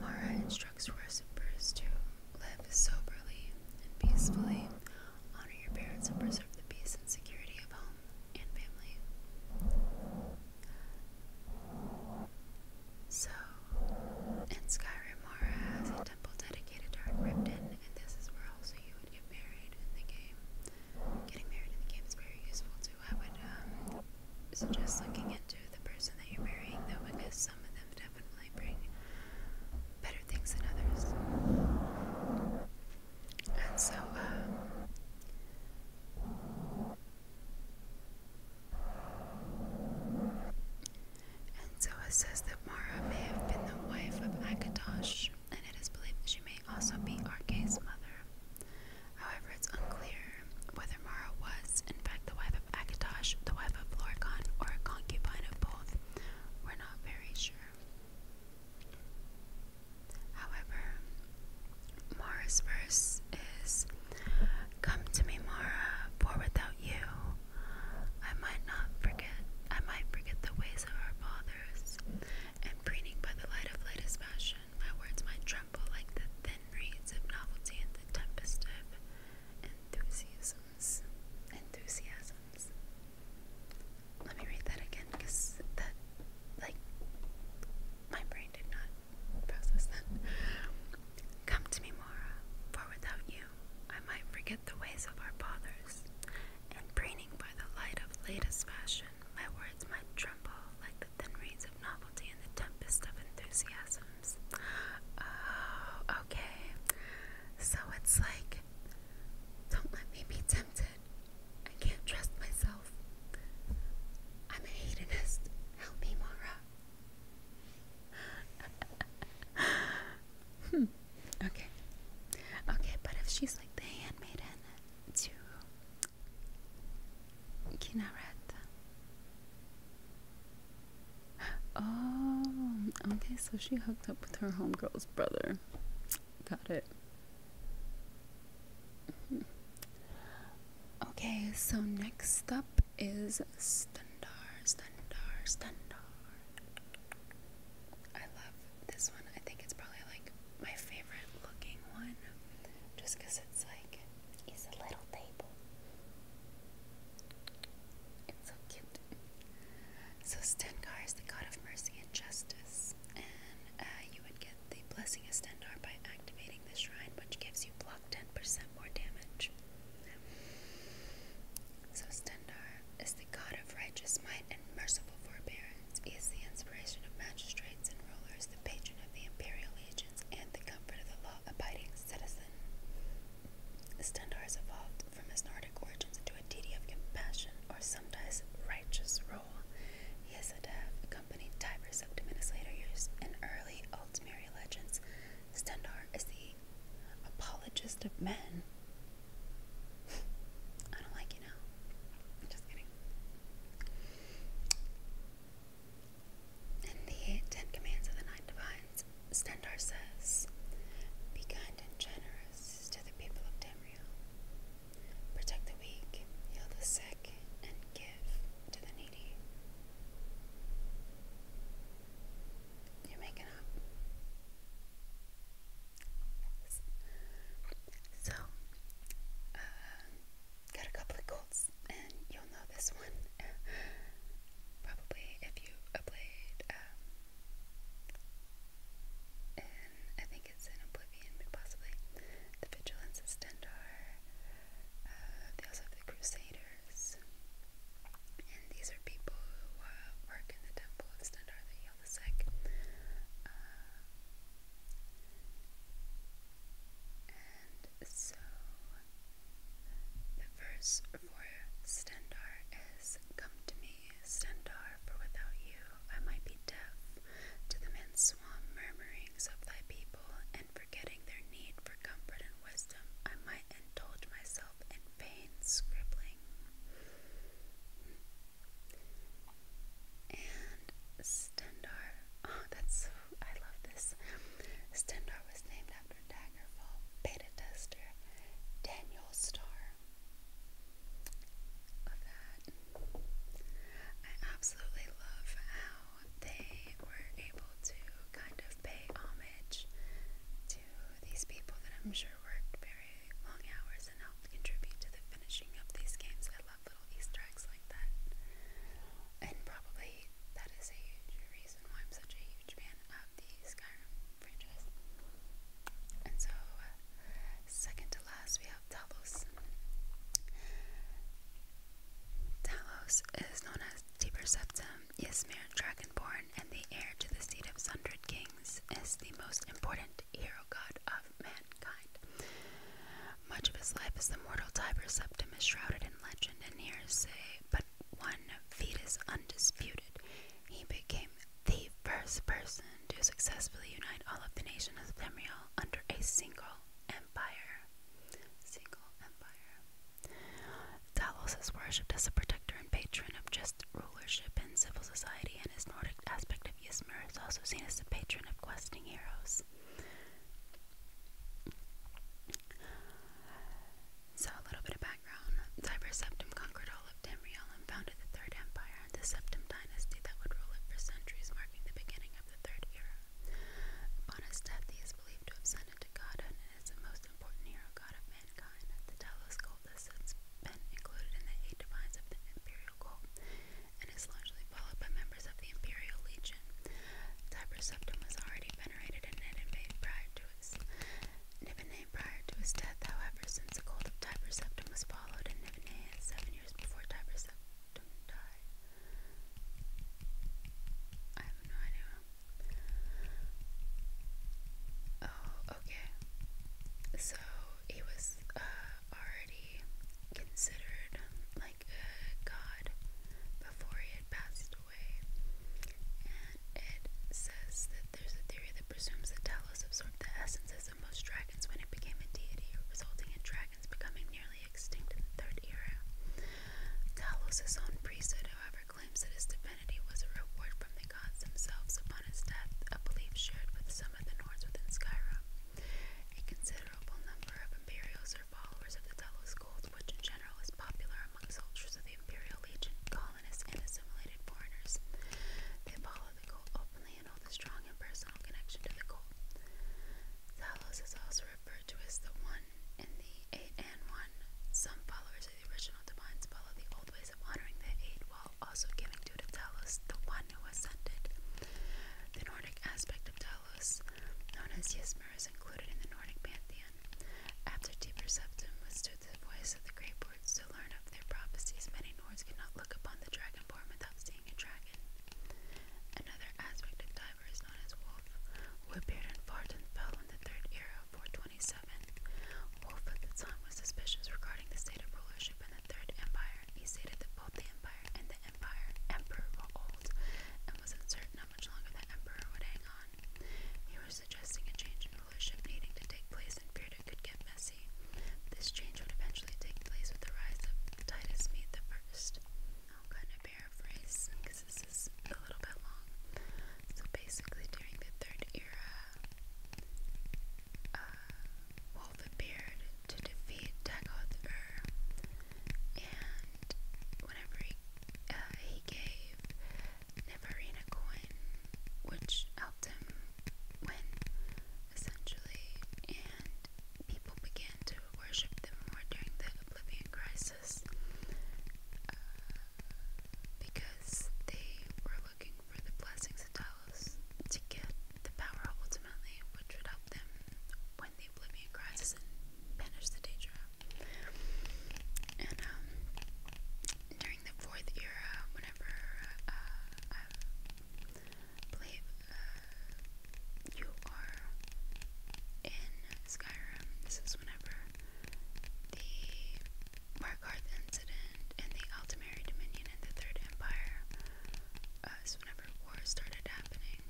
A: Mara instructs worshippers to live soberly and peacefully, honor your parents, and preserve the peace and security of home and family. So, and Skyrim has a temple dedicated to her Ripton, and this is where also you would get married in the game. Getting married in the game is very useful too. I would um, suggest looking into the person that you're marrying though, because some of them definitely bring better things than others. And so, um, and so it says that Mara may have been the wife of Akatosh, and it is believed that she may also be Arke's mother. However, it's unclear whether Mara was, in fact, the wife of Akatosh, the wife of Lorcan, or a concubine of both. We're not very sure. However, Mara's is Come to me, Mara, for without you I might not forget I might forget the ways of our fathers, and preening by the light of latest fashion, my words might tremble like the thin reeds of novelty in the tempest of enthusiasms. Enthusiasms. Let me read that again, because that, like, my brain did not process that. Come to me, Mora, for without I might forget the ways of our fathers, and preening by the light of latest fashion, my words might tremble like the thin reeds of novelty in the tempest of enthusiasms. Oh, okay. So it's like, don't let me be tempted. I can't trust myself. I'm a hedonist. Help me, Mara hmm. Okay. Okay, but if she's like the handmaiden to Kinaret. Oh, okay, so she hooked up with her homegirl's brother. Got it. Mm-hmm. Okay, so next up is Stendar, Stendar, Stendar. I love this one. I think it's probably like my favorite looking one just because it's like, it's a little table. It's so cute. So Stendar is the god of mercy and justice, and uh, you would get the blessing of Stendar by activating the shrine, which gives you block 10% more damage. So Stendar is the god of righteous might and merciful forbearance. He is the inspiration of magistrates and rulers, the patron of the imperial legions, and the comfort of the law-abiding citizen. Stendar has evolved from his Nordic origins into a deity of compassion, or sometimes righteous rule. He is said to have accompanied Tiberius up to Minas later years. In early Altmeri legends, Stendar is the Apologist of men. I don't like you now. just kidding. In the Ten Commands of the Nine Divines, Stendhal says, Be kind and generous to the people of Tamriel. Protect the weak, heal the sick, and give to the needy. You're making up. So, uh, got a couple of golds, and you'll know this one probably if you played. and um, I think it's in Oblivion, possibly the Vigilance of uh, they also have the Crusaders. And these are people who uh, work in the temple of Standartha Yelvasek. Uh, and so the verse for Stendar is Come to me, Stendar, for without you I might be deaf to the Manswam murmurings of thy people, and forgetting their need for comfort and wisdom, I might told myself in vain, scribbling. And Stendar, oh, that's I love this. Stendar was named after Daggerfall beta tester Daniel Starr. Love that. I absolutely love how they were able to kind of pay homage to these people that I'm sure worked very long hours and helped contribute to the finishing of these games. I love little Easter eggs like that. And probably that is a huge reason why I'm such a huge fan of the Skyrim franchise. And so, uh, second to last, we have Talos. Talos is known as Deeper Septum Ysmir Dragonborn and the heir to the seat of Sundred Kings, is the most important hero god of mankind. Much of his life as the mortal Tiber Septim is shrouded in legend and hearsay, but one feat is undisputed. He became the first person to successfully unite all of the nation of Themriel under a single empire. Single empire. Talos is worshipped as a protector and patron of just rulership and civil society, and his Nordic aspect of Ysmir is also seen as the patron of questing heroes. So, a little bit of background. Tiber Septim conquered all of Tamriel and founded the Third Empire and the Septim dynasty that would rule it for centuries, marking the beginning of the Third Era. Upon his death, he is believed to have sent planet to God and is the most important hero god of mankind. The Talos cult has since been included in the eight divines of the imperial cult and is largely followed by members of the imperial legion. Tiber Septum was already venerated and made prior to his Nibene prior to his death, however, since the cult of Tiber Septum was followed in Nibene seven years before Tiber Septum died. I have no idea. Oh, okay. So he was uh, already considered like a god before he had passed away. And it says that there's a theory that presumes that Talos absorbed the essences of most dragons when it became a deity, resulting in dragons becoming nearly extinct in the Third Era. Talos' own priesthood, however, However, claims that his divinity was a reward from the gods themselves upon his death, a belief shared with some of the Nords within Skyrim. A considerable number of Imperials are followers of the Delos cult, which in general is popular among soldiers of the Imperial Legion, colonists, and assimilated foreigners. They follow the cult openly and hold a strong and personal connection to the cult. Talos is also referred to as the One in the Eight and One. Some followers the original divines follow the old ways of honoring the eight, while also giving due to Talos, the one who ascended. The Nordic aspect of Talos, known as Ysmir, is included in the Nordic pantheon. After Deeper Septum withstood the voice of the Great Boards to learn of their prophecies, many Nords could not look upon the dragon dragonborn without seeing a dragon. Another aspect of Diver is known as Wolf, who appeared in Farton fell in the third era 420. 27. Wolfe at the time was suspicious regarding the state of rulership in the Third Empire. He stated that both the Empire and the Empire Emperor were old and was uncertain how much longer the Emperor would hang on. He was suggesting a change in rulership needing to take place and feared it could get messy. This change would eventually take place with the rise of Titus Meade I. I'm going to paraphrase because it's a little bit long. So basically, during the Third Era, uh, Wolf appeared to defeat Dagoth and whenever he, uh, he gave Neferina coin, which helped him win, essentially, and people began to worship them more during the Oblivion Crisis. Uh, because they were looking for the blessings of Talos to get the power ultimately, which would help them when the Oblivion crisis and banish the Daedra. And um, during the Fourth Era, whenever uh, I believe uh, you are in Skyrim, is whenever the Markarth incident in the Altamary Dominion and the Third Empire uh, is whenever wars started happening.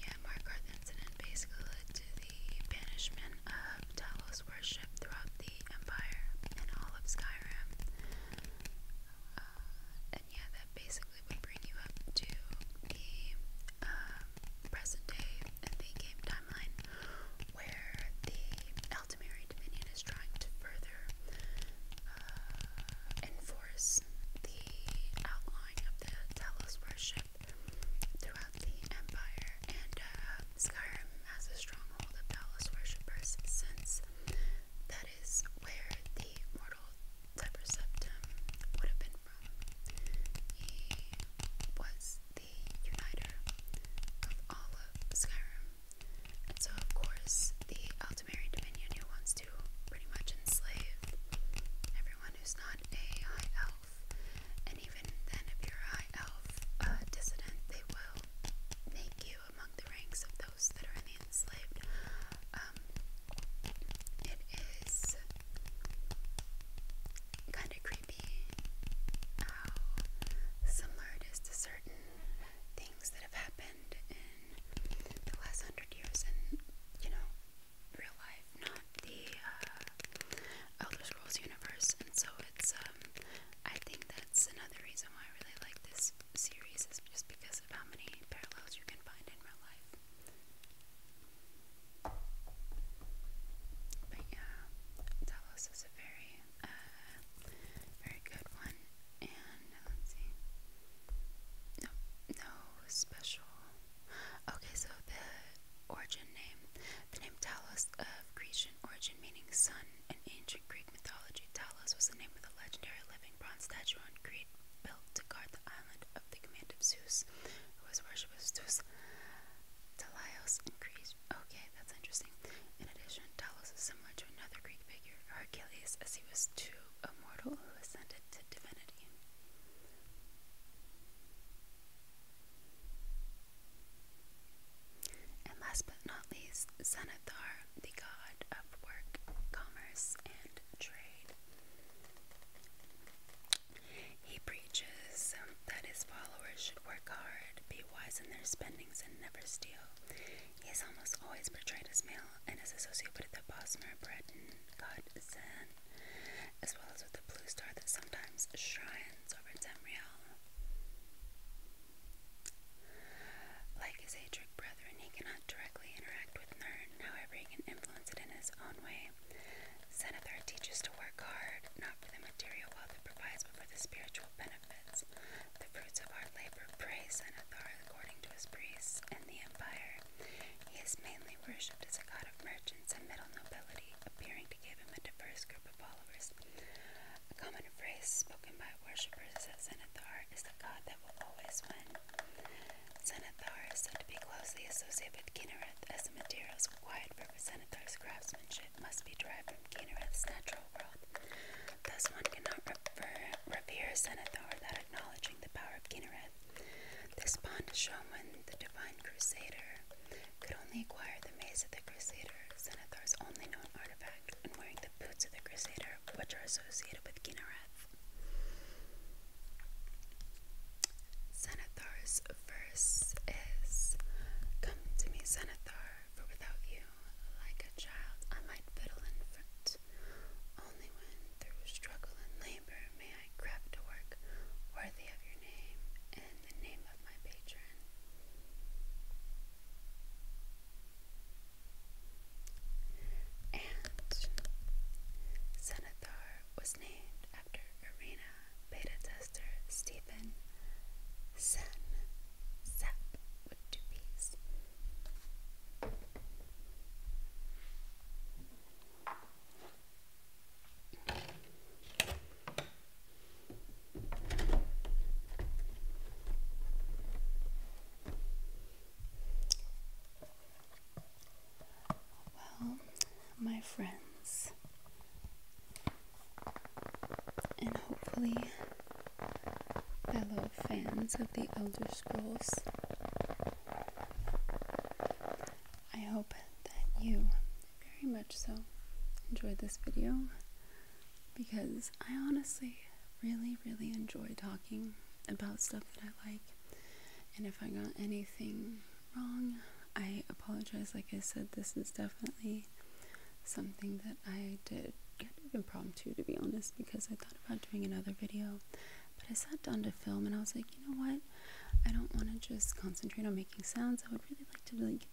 A: yeah, Markarth incident basically led to the banishment of Talos worship throughout the Empire and all of Skyrim. Uh, and yeah, that basically would bring you up to the um, present day and the game timeline where the Altamary Dominion is trying to further uh, enforce the outlawing of the Talos worship throughout the Empire, and uh, Skyrim has a stronghold of Talos worshippers since that is where the mortal Cyber Septum would have been from. He was the uniter of all of Skyrim. And so, of course, the Altamarian Dominion who wants to pretty much enslave everyone who's not a high elf. And even then, if you're a high elf dissident, they will make you among the ranks of those that are in enslaved. Um, it is kind of creepy how some artists to certain things that have happened in the last hundred years and, you know, real life, not the uh, Elder Scrolls universe. And so it's, um, I think that's another reason why I really like this series is just because of how many parallels you can find in real life. But yeah, Davos is a very, uh, very good one. And uh, let's see, no, no special. Okay, so the origin name, the name Talos of Grecian origin, meaning sun. In ancient Greek mythology, Talos was the name of the legendary living bronze statue on Crete, built to guard the island of the command of Zeus, who was worshipped Zeus. Talios in Crete. Okay, that's interesting. In addition, Talos is similar to another Greek figure, Hercules, as he was too immortal who ascended to divinity. And last but not least, Xanathar, the god of work, commerce, and trade. He preaches that his followers should work hard, be wise in their spendings, and never steal. He is almost always portrayed as male and is associated with the Bosmer, and god Zen, as well as with the blue star that sometimes shines over Tamriel. Like his Adric brethren, he cannot directly interact with Nern, however, he can influence it in his own way. Senator teaches to work hard, not for the material wealth it provides, but for the spiritual benefits. The fruits of our labor, praise Senathar according to his priests and the empire. He is mainly worshipped as a god of merchants and middle nobility, appearing to give him a diverse group of followers. A common phrase spoken by worshippers of Senathar is the god that will always win. Senathar is said to be closely associated with Kinnereth as the materials required representative's craftsmanship must be derived from Kinnereth's natural world. Thus, one cannot revere Senator without acknowledging the power of Kinnereth. This bond is shown when the divine crusader could only acquire the mace of the crusader, Senator's only known artifact, and wearing the boots of the crusader, which are associated with Kinnereth. Senathor's the verse is Come to me, Xanathar, for without you, like a child, I might fiddle and fret. Only when through struggle and labor may I craft a work worthy of your name and the name of my patron. And Xanathar was named after Arena beta tester Stephen Sen Sap with two P's. Well, my friends. And hopefully, fellow fans of the Elder Scrolls, I hope that you very much so enjoyed this video because I honestly really, really enjoy talking about stuff that I like. And if I got anything wrong, I apologize. Like I said, this is definitely something that I did kind impromptu, to be honest, because I thought about doing another video. But I sat down to film and I was like, you know what? I don't want to just concentrate on making sounds. I would really like to, like,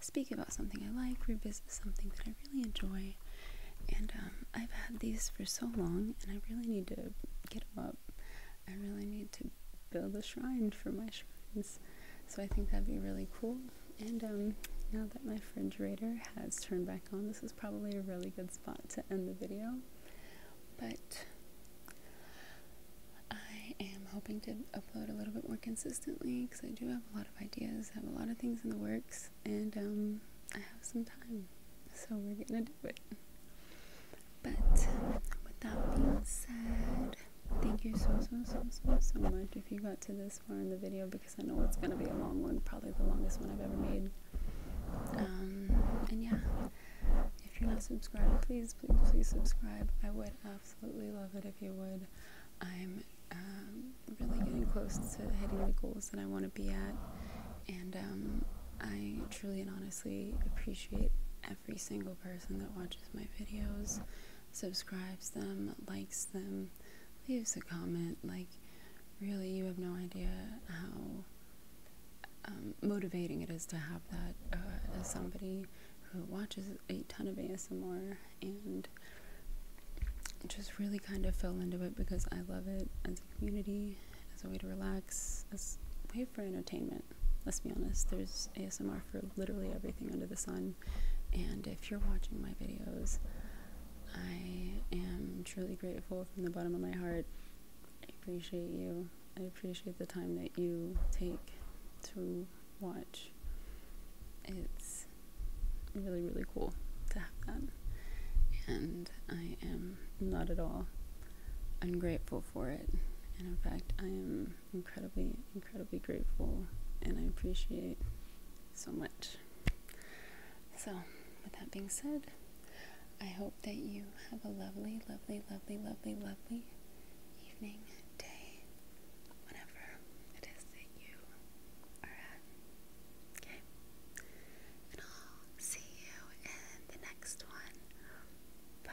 A: speak about something I like, revisit something that I really enjoy. And um, I've had these for so long, and I really need to get them up. I really need to build a shrine for my shrine so I think that'd be really cool. And um, now that my refrigerator has turned back on, this is probably a really good spot to end the video. But I am hoping to upload a little bit more consistently because I do have a lot of ideas, have a lot of things in the works, and um, I have some time. So we're gonna do it. But with that being said, Thank you so, so, so, so, so much if you got to this far in the video because I know it's going to be a long one, probably the longest one I've ever made. Um, and yeah, if you're not subscribed, please, please, please subscribe. I would absolutely love it if you would. I'm um, really getting close to hitting the goals that I want to be at. And um, I truly and honestly appreciate every single person that watches my videos, subscribes them, likes them, leaves a comment. Like, really, you have no idea how um, motivating it is to have that uh, as somebody who watches a ton of ASMR and just really kind of fell into it because I love it as a community, as a way to relax, as a way for entertainment. Let's be honest, there's ASMR for literally everything under the sun. And if you're watching my videos, I am truly grateful from the bottom of my heart. I appreciate you. I appreciate the time that you take to watch. It's really, really cool to have that. And I am not at all ungrateful for it. in fact, I am incredibly, incredibly grateful and I appreciate so much. So, with that being said, I hope that you have a lovely, lovely, lovely, lovely, lovely evening, day, whenever it is that you are at. Okay? And I'll see you in the next one. Bye.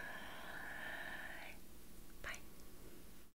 A: Bye.